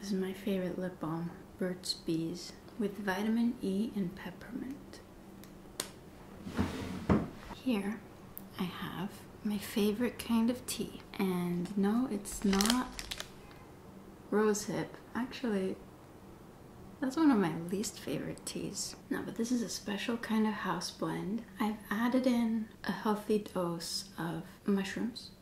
This is my favorite lip balm, Burt's Bees, with vitamin E and peppermint. Here I have my favorite kind of tea. And no, it's not rosehip. Actually, that's one of my least favorite teas. No, but this is a special kind of house blend. I've added in a healthy dose of mushrooms,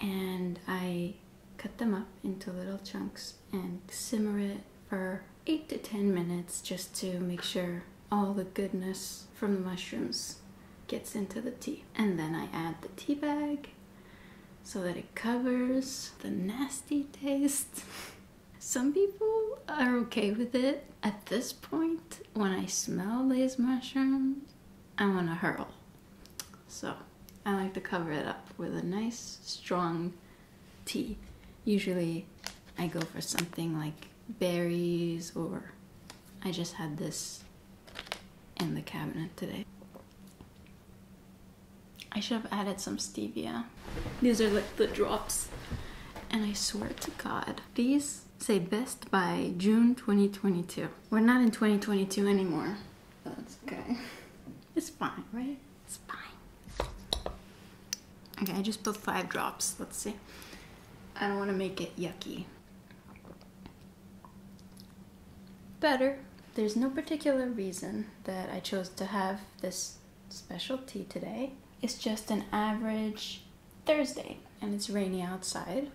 and I cut them up into little chunks and simmer it for 8 to 10 minutes just to make sure all the goodness from the mushrooms gets into the tea. And then I add the tea bag so that it covers the nasty taste. Some people are okay with it. At this point, when I smell these mushrooms, I want to hurl. So I like to cover it up with a nice strong tea. Usually I go for something like berries or I just had this in the cabinet today. I should have added some stevia. These are like the drops. And I swear to God, these say best by June 2022. We're not in 2022 anymore. That's okay. It's fine, right? It's fine. Okay, I just put five drops. Let's see. I don't want to make it yucky. Better. There's no particular reason that I chose to have this special tea today. It's just an average Thursday and it's rainy outside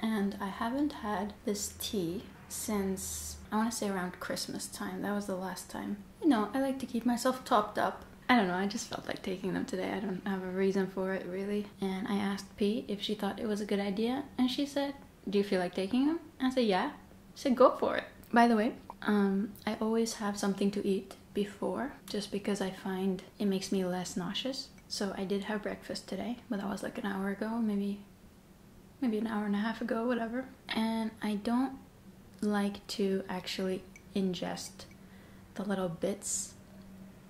and I haven't had this tea since I want to say around Christmas time. That was the last time. You know, I like to keep myself topped up. I don't know, I just felt like taking them today. I don't have a reason for it really. And I asked Pete if she thought it was a good idea and she said, "Do you feel like taking them?" I said, "Yeah." She said, "Go for it." By the way, um, I always have something to eat before just because I find it makes me less nauseous so I did have breakfast today, but that was like an hour ago, maybe maybe an hour and a half ago, whatever. And I don't like to actually ingest the little bits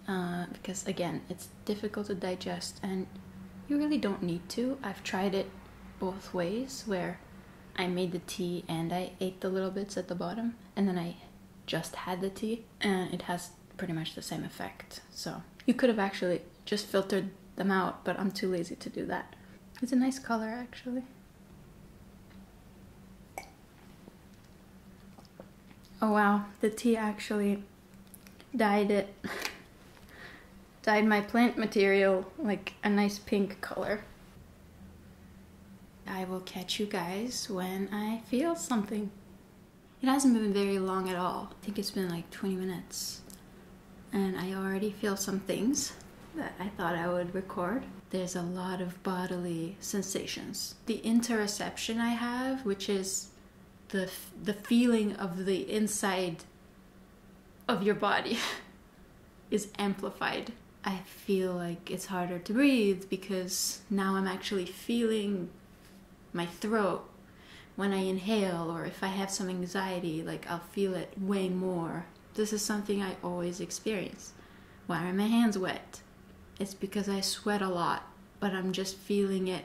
uh, because again, it's difficult to digest and you really don't need to. I've tried it both ways where I made the tea and I ate the little bits at the bottom and then I just had the tea and it has pretty much the same effect. So you could have actually just filtered them out, but I'm too lazy to do that. It's a nice color actually. Oh wow, the tea actually dyed it. dyed my plant material like a nice pink color. I will catch you guys when I feel something. It hasn't been very long at all. I think it's been like 20 minutes. And I already feel some things that I thought I would record. There's a lot of bodily sensations. The interception I have, which is the, the feeling of the inside of your body, is amplified. I feel like it's harder to breathe because now I'm actually feeling my throat when I inhale, or if I have some anxiety, like I'll feel it way more. This is something I always experience. Why are my hands wet? It's because I sweat a lot, but I'm just feeling it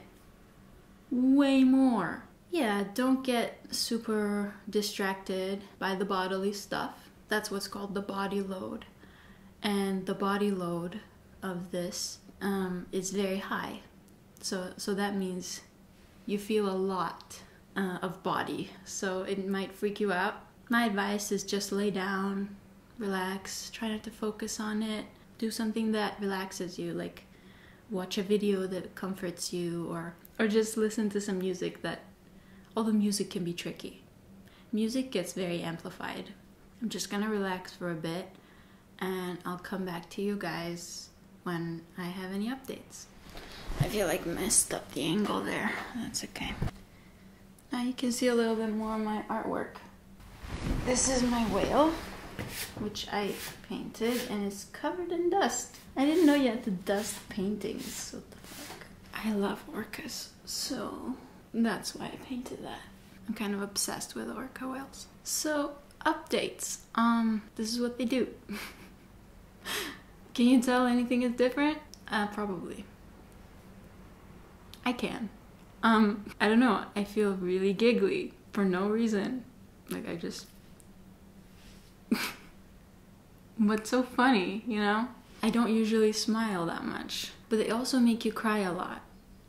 way more. Yeah, don't get super distracted by the bodily stuff. That's what's called the body load. And the body load of this um, is very high. So, so that means you feel a lot uh, of body. So it might freak you out. My advice is just lay down, relax, try not to focus on it. Do something that relaxes you, like watch a video that comforts you or or just listen to some music that although music can be tricky. Music gets very amplified. I'm just going to relax for a bit and I'll come back to you guys when I have any updates. I feel like messed up the angle there. That's okay. Now you can see a little bit more of my artwork. This is my whale, which I painted and it's covered in dust. I didn't know you had to dust paintings. What I love orcas, so that's why I painted that. I'm kind of obsessed with orca whales. So, updates. Um, this is what they do. can you tell anything is different? Uh, probably. I can. Um, I don't know. I feel really giggly for no reason. Like, I just. What's so funny, you know? I don't usually smile that much, but they also make you cry a lot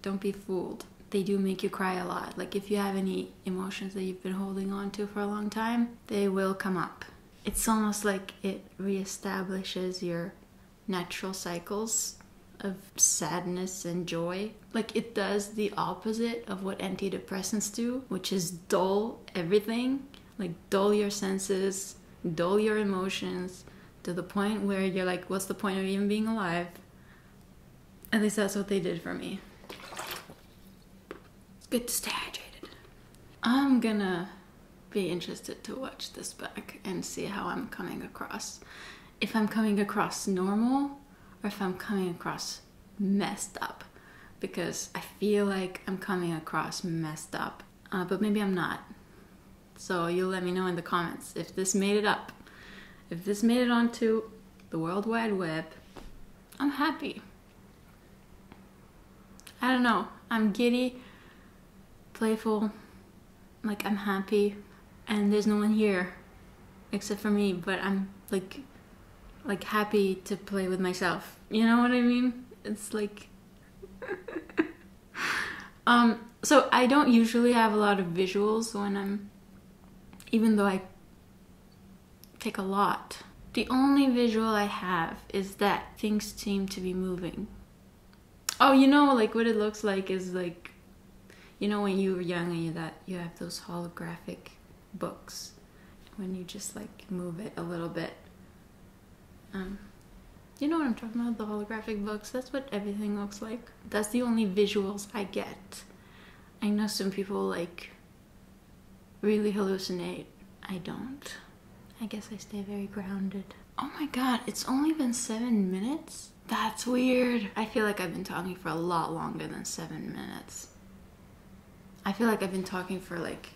don't be fooled. They do make you cry a lot. Like if you have any emotions that you've been holding on to for a long time, they will come up. It's almost like it reestablishes your natural cycles of sadness and joy. Like it does the opposite of what antidepressants do, which is dull everything, like dull your senses, dull your emotions to the point where you're like, what's the point of even being alive? At least that's what they did for me. It's good to stay hydrated. I'm gonna be interested to watch this back and see how I'm coming across. If I'm coming across normal or if I'm coming across messed up because I feel like I'm coming across messed up, uh, but maybe I'm not. So you'll let me know in the comments if this made it up if this made it onto the World Wide Web, I'm happy. I don't know. I'm giddy, playful, like I'm happy, and there's no one here except for me, but I'm like like happy to play with myself. You know what I mean? It's like um so I don't usually have a lot of visuals when I'm, even though I take a lot. The only visual I have is that things seem to be moving. Oh, you know, like what it looks like is like, you know, when you are young and you that you have those holographic books when you just like move it a little bit. Um, you know what I'm talking about? The holographic books. That's what everything looks like. That's the only visuals I get. I know some people like really hallucinate. I don't. I guess I stay very grounded. Oh my god, it's only been seven minutes? That's weird. I feel like I've been talking for a lot longer than seven minutes. I feel like I've been talking for like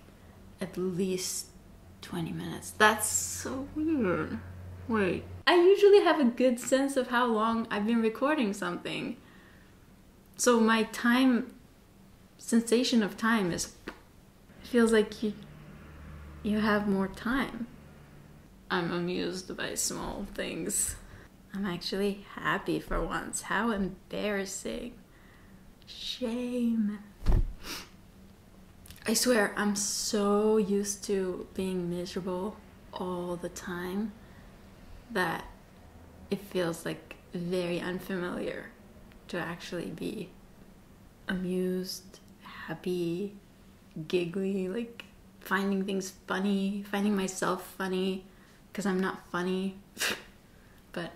at least 20 minutes. That's so weird. Wait. I usually have a good sense of how long I've been recording something. So my time sensation of time is feels like you you have more time. I'm amused by small things. I'm actually happy for once. How embarrassing. Shame. I swear, I'm so used to being miserable all the time that it feels like very unfamiliar to actually be amused, happy, giggly, like finding things funny, finding myself funny, because I'm not funny, but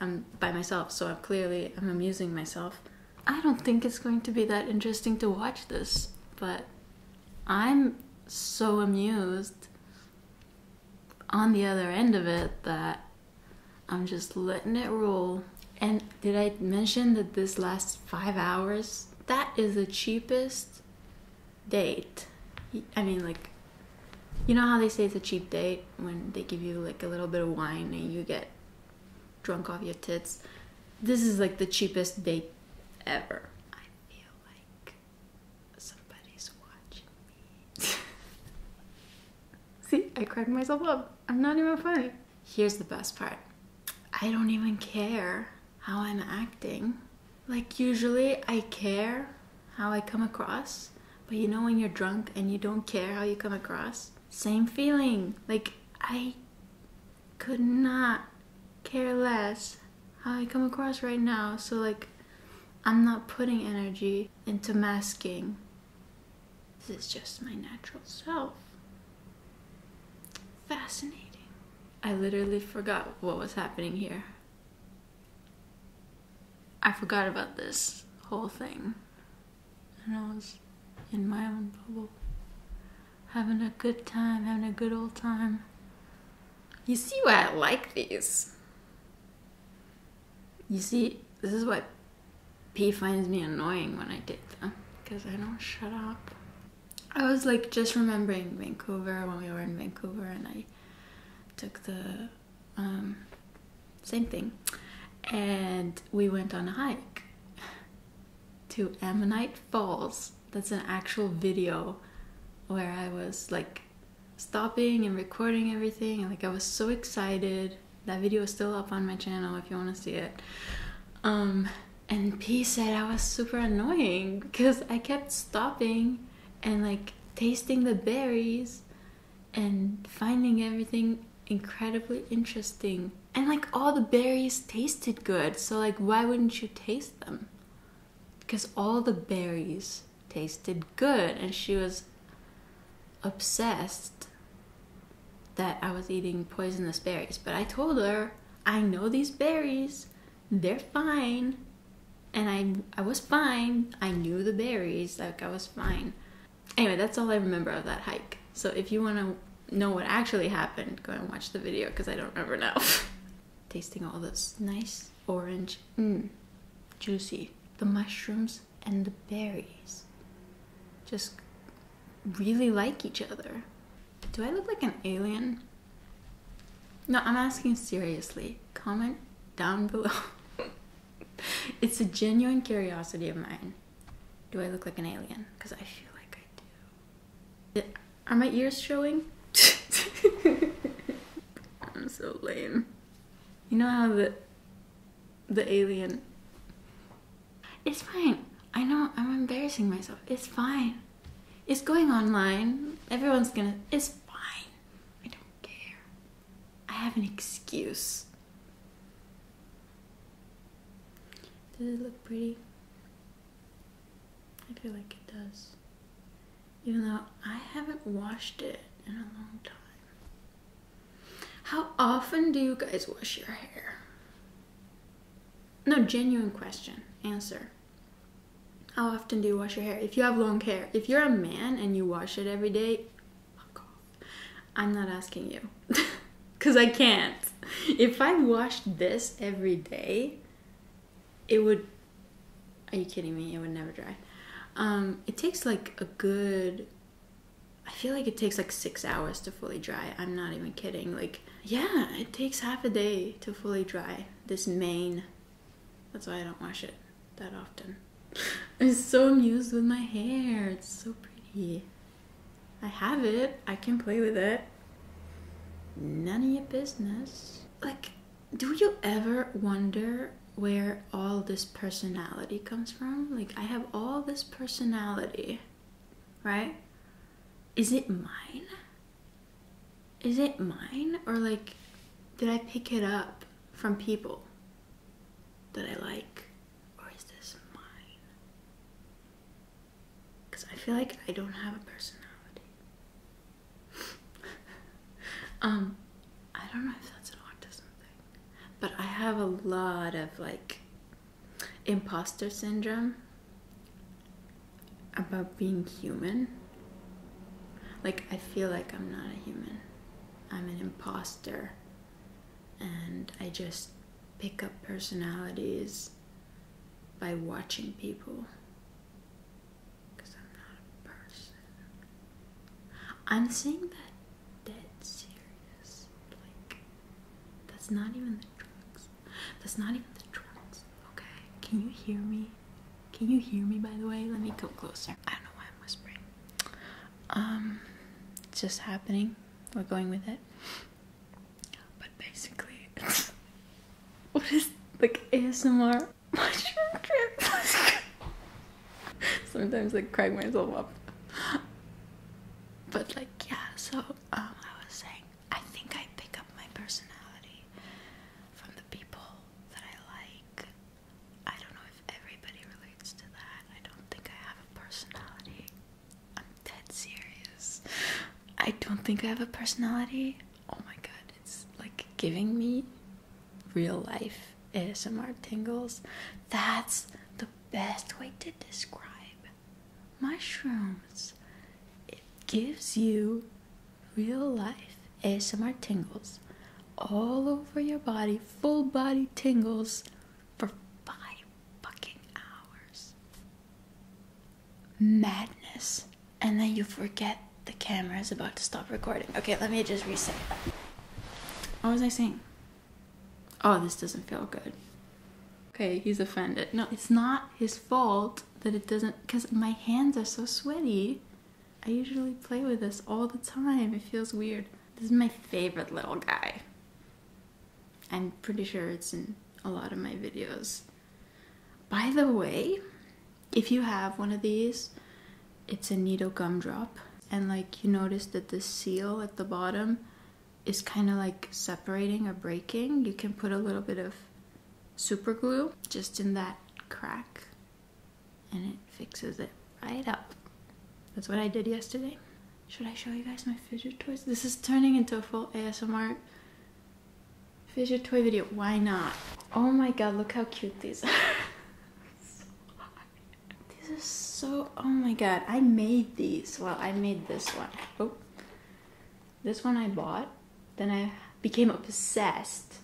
I'm by myself, so I'm clearly I'm amusing myself. I don't think it's going to be that interesting to watch this, but I'm so amused on the other end of it that I'm just letting it roll. And did I mention that this lasts five hours? That is the cheapest date. I mean, like, you know how they say it's a cheap date when they give you like a little bit of wine and you get drunk off your tits? This is like the cheapest date ever, See, I cracked myself up. I'm not even funny. Here's the best part I don't even care how I'm acting. Like, usually I care how I come across, but you know, when you're drunk and you don't care how you come across, same feeling. Like, I could not care less how I come across right now. So, like, I'm not putting energy into masking. This is just my natural self. Fascinating. I literally forgot what was happening here. I forgot about this whole thing. And I was in my own bubble having a good time, having a good old time. You see why I like these. You see, this is what P finds me annoying when I take them because I don't shut up. I was like just remembering Vancouver when we were in Vancouver and I took the um, same thing and we went on a hike to Ammonite Falls that's an actual video where I was like stopping and recording everything like I was so excited. That video is still up on my channel if you want to see it. Um and P said I was super annoying because I kept stopping and like tasting the berries and finding everything incredibly interesting. And like all the berries tasted good, so like why wouldn't you taste them? because all the berries tasted good and she was obsessed that I was eating poisonous berries. But I told her, I know these berries, they're fine. And I, I was fine. I knew the berries, like I was fine. Anyway, that's all I remember of that hike. So if you want to know what actually happened, go and watch the video because I don't remember now. tasting all this nice orange, mm, juicy, the mushrooms and the berries just really like each other. Do I look like an alien? No, I'm asking seriously. Comment down below. it's a genuine curiosity of mine. Do I look like an alien? Because I feel like I do. Are my ears showing? I'm so lame. You know how the the alien It's fine. I know I'm embarrassing myself. It's fine. It's going online. Everyone's gonna it's fine. I don't care. I have an excuse. Does it look pretty? I feel like it does. Even though I haven't washed it in a long time. How often do you guys wash your hair? No, genuine question. Answer. How often do you wash your hair? If you have long hair, if you're a man and you wash it every day, fuck off. I'm not asking you. Because I can't. If I washed this every day, it would are you kidding me it would never dry um it takes like a good i feel like it takes like six hours to fully dry i'm not even kidding like yeah it takes half a day to fully dry this mane that's why i don't wash it that often i'm so amused with my hair it's so pretty i have it i can play with it None of your business. Like, do you ever wonder where all this personality comes from? Like, I have all this personality, right? Is it mine? Is it mine? Or, like, did I pick it up from people that I like? Or is this mine? Because I feel like I don't have a personality um, I don't know if that's an autism thing, but I have a lot of like imposter syndrome about being human. Like, I feel like I'm not a human, I'm an imposter, and I just pick up personalities by watching people. Because I'm not a person. I'm saying that dead serious. Like, that's not even the drugs. That's not even the drugs. Okay? Can you hear me? Can you hear me, by the way? Let me come closer. I don't know why I'm whispering. Um, just happening. We're going with it. But basically, What is like ASMR mushroom trips? Sometimes I crack myself up. But like yeah, so um I was saying I think I pick up my personality from the people that I like. I don't know if everybody relates to that. I don't think I have a personality. I'm dead serious. I don't think I have a personality oh my god, it's like giving me real life ASMR tingles. That's the best way to describe mushrooms. It gives you real life ASMR tingles all over your body, full body tingles for five fucking hours madness. And then you forget the camera is about to stop recording. Okay, let me just reset. What was I saying? Oh, this doesn't feel good. Okay, he's offended. No, it's not his fault that it doesn't, because my hands are so sweaty. I usually play with this all the time. It feels weird. This is my favorite little guy. I'm pretty sure it's in a lot of my videos. By the way, if you have one of these, it's a needle gumdrop. And like you notice that the seal at the bottom is kind of like separating or breaking. You can put a little bit of super glue just in that crack and it fixes it right up. That's what I did yesterday. Should I show you guys my fidget toys? This is turning into a full ASMR Fish toy video, why not? Oh my god, look how cute these are. these are so, oh my god, I made these. Well, I made this one. Oh. This one I bought, then I became obsessed.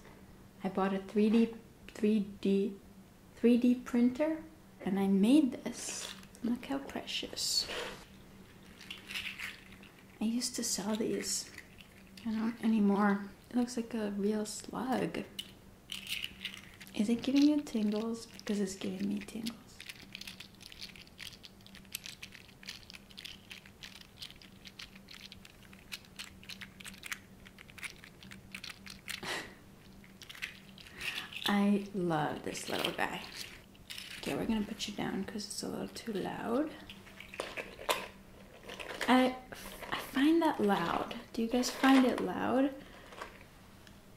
I bought a 3D, 3D, 3D printer and I made this. Look how precious. I used to sell these. I don't anymore. It looks like a real slug. Is it giving you tingles? Because it's giving me tingles. I love this little guy. Okay, we're gonna put you down because it's a little too loud. I, I find that loud. Do you guys find it loud?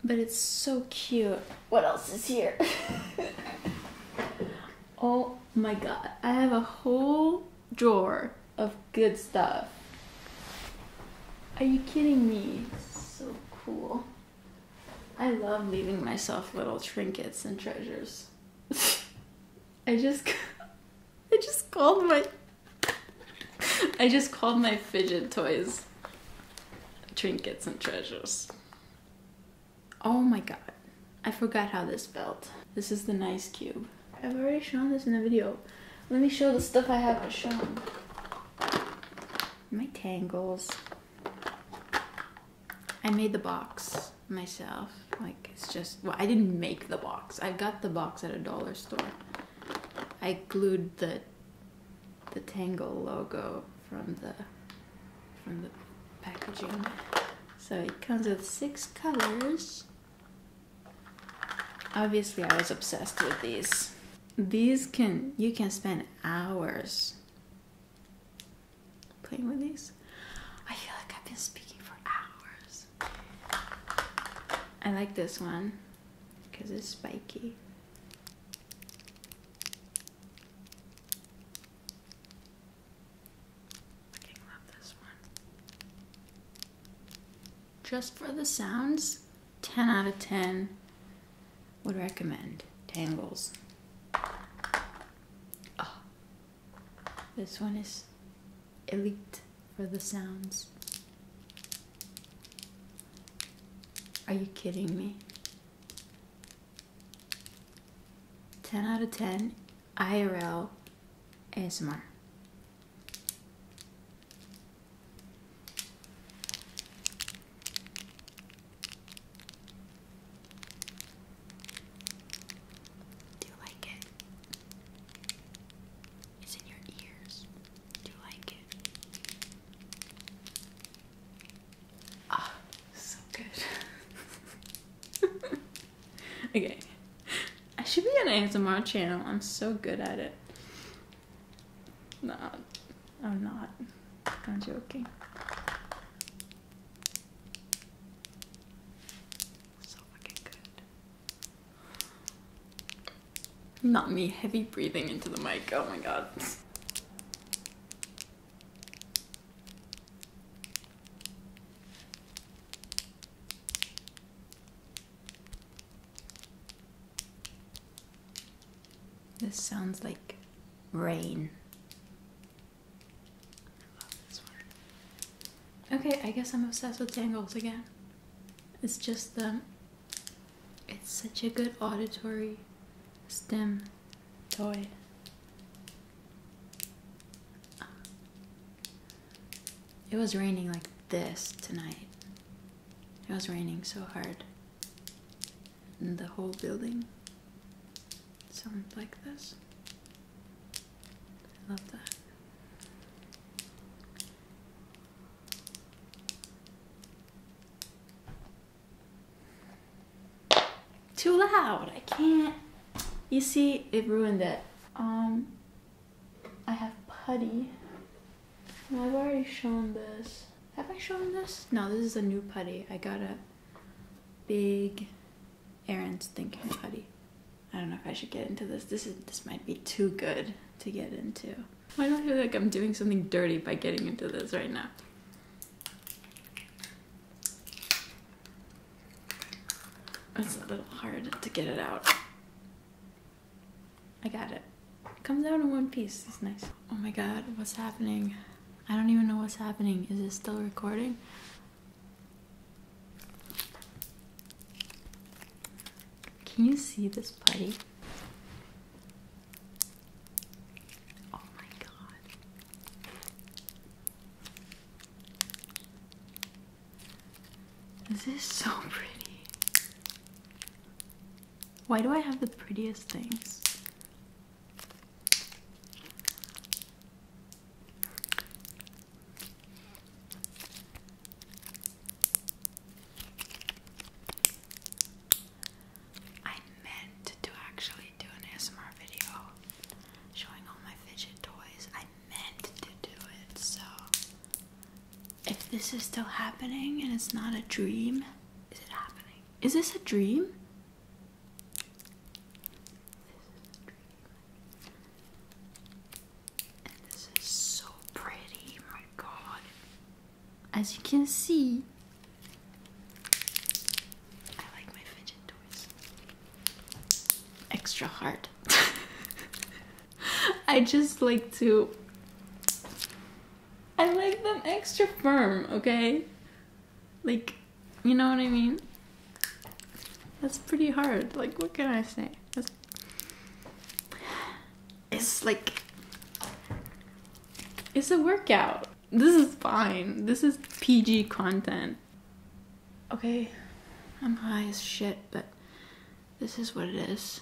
But it's so cute. What else is here? oh my god. I have a whole drawer of good stuff. Are you kidding me? So cool. I love leaving myself little trinkets and treasures. I just I just called my I just called my fidget toys trinkets and treasures. Oh my god. I forgot how this felt. This is the nice cube. I've already shown this in the video. Let me show the stuff I haven't shown. My tangles. I made the box. Myself. Like it's just well, I didn't make the box. I got the box at a dollar store. I glued the the Tangle logo from the from the packaging. So it comes with six colors. Obviously I was obsessed with these. These can you can spend hours playing with these. I feel like I've been speaking for hours. I like this one because it's spiky. I love this one. Just for the sounds, 10 out of 10 would recommend. Tangles. This one is elite for the sounds. Are you kidding me? 10 out of 10 IRL ASMR. Do you like it? It's in your ears. Do you like it? Ah, so good. okay. I should be on an ASMR channel. I'm so good at it. No, I'm not. I'm joking. So fucking good. Not me, heavy breathing into the mic. Oh my god. This sounds like rain. Okay, I guess I'm obsessed with tangles again. It's just the. it's such a good auditory stem toy. It was raining like this tonight. It was raining so hard And the whole building. Sounds like this. I love that. Too loud. I can't. You see, it ruined it. Um, I have putty. And I've already shown this. Have I shown this? No, this is a new putty. I got a big Aaron's thinking buddy. I don't know if I should get into this. This is this might be too good to get into. Why do I feel like I'm doing something dirty by getting into this right now? It's a little hard to get it out. I got it. it comes out in one piece. It's nice. Oh my god, what's happening? I don't even know what's happening. Is it still recording? Can you see this putty? Oh my god. This is so pretty. Why do I have the prettiest things? I meant to actually do an ASMR video showing all my fidget toys. I meant to do it, so if this is still happening and it's not a dream, is it happening? Is this a dream? a dream this is so pretty, my god. As you can see, I like my fidget toys. Extra hard. I just like to. I like them extra firm, okay? Like, you know what I mean? That's pretty hard. Like, what can I say? It's like. It's a workout. This is fine. This is PG content. Okay, I'm high as shit, but this is what it is.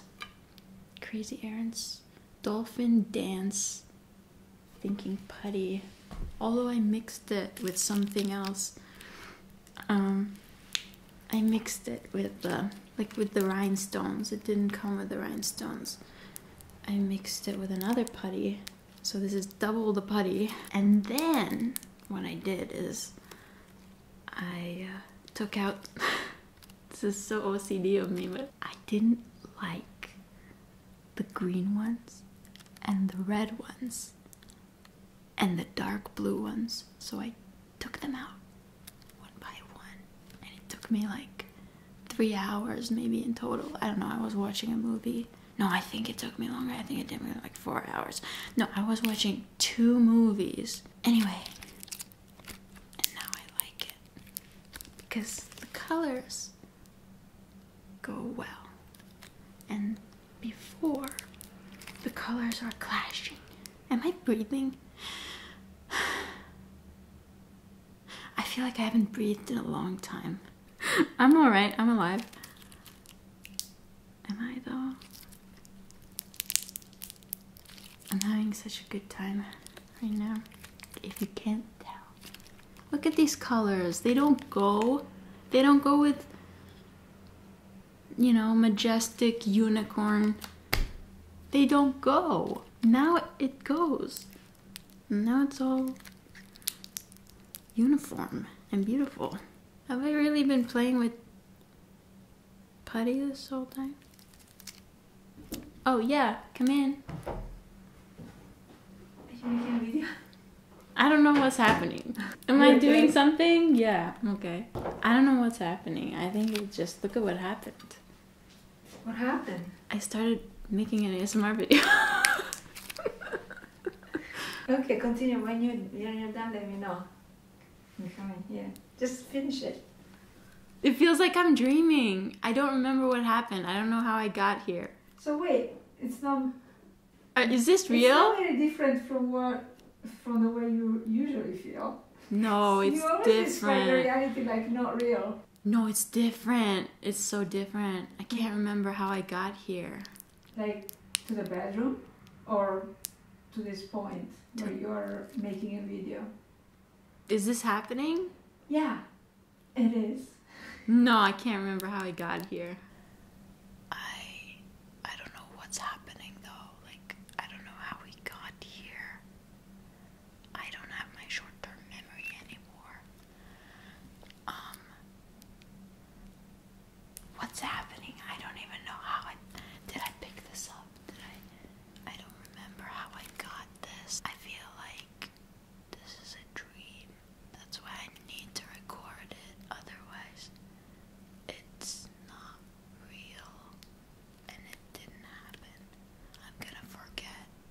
Crazy errands, dolphin dance, thinking putty. Although I mixed it with something else um, I mixed it with the like with the rhinestones. It didn't come with the rhinestones. I mixed it with another putty. So this is double the putty. And then what I did is I uh, took out, this is so OCD of me, but I didn't like the green ones and the red ones and the dark blue ones. So I took them out one by one, and it took me like three hours maybe in total. I don't know, I was watching a movie. No, I think it took me longer. I think it did me like four hours. No, I was watching two movies. Anyway, and now I like it because the colors go well. And before. The colors are clashing. Am I breathing? I feel like I haven't breathed in a long time. I'm alright, I'm alive. Am I though? I'm having such a good time right now, if you can't tell. Look at these colors, they don't go, they don't go with you know, majestic unicorn, they don't go. Now it goes. Now it's all uniform and beautiful. Have I really been playing with putty this whole time? Oh yeah, come in. I don't know what's happening. Am I doing something? Yeah, okay. I don't know what's happening. I think it just look at what happened. What happened? I started making an ASMR video. okay, continue. When you you're done, let me know. I'm coming. Yeah, just finish it. It feels like I'm dreaming. I don't remember what happened. I don't know how I got here. So wait, it's not uh, is this real? It's very different from what, from the way you usually feel. No, it's you different. reality like not real. No, it's different. It's so different. I can't remember how I got here. Like to the bedroom, or to this point where you are making a video. Is this happening? Yeah, it is. No, I can't remember how I got here. I I don't know what's happening though. Like I don't know how we got here. I don't have my short-term memory anymore. Um What's happening? I don't even know how I did I pick this up? Did I I don't remember how I got this. I feel like this is a dream. That's why I need to record it. Otherwise, it's not real and it didn't happen. I'm gonna forget.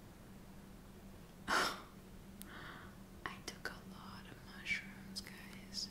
I took a lot of mushrooms, guys.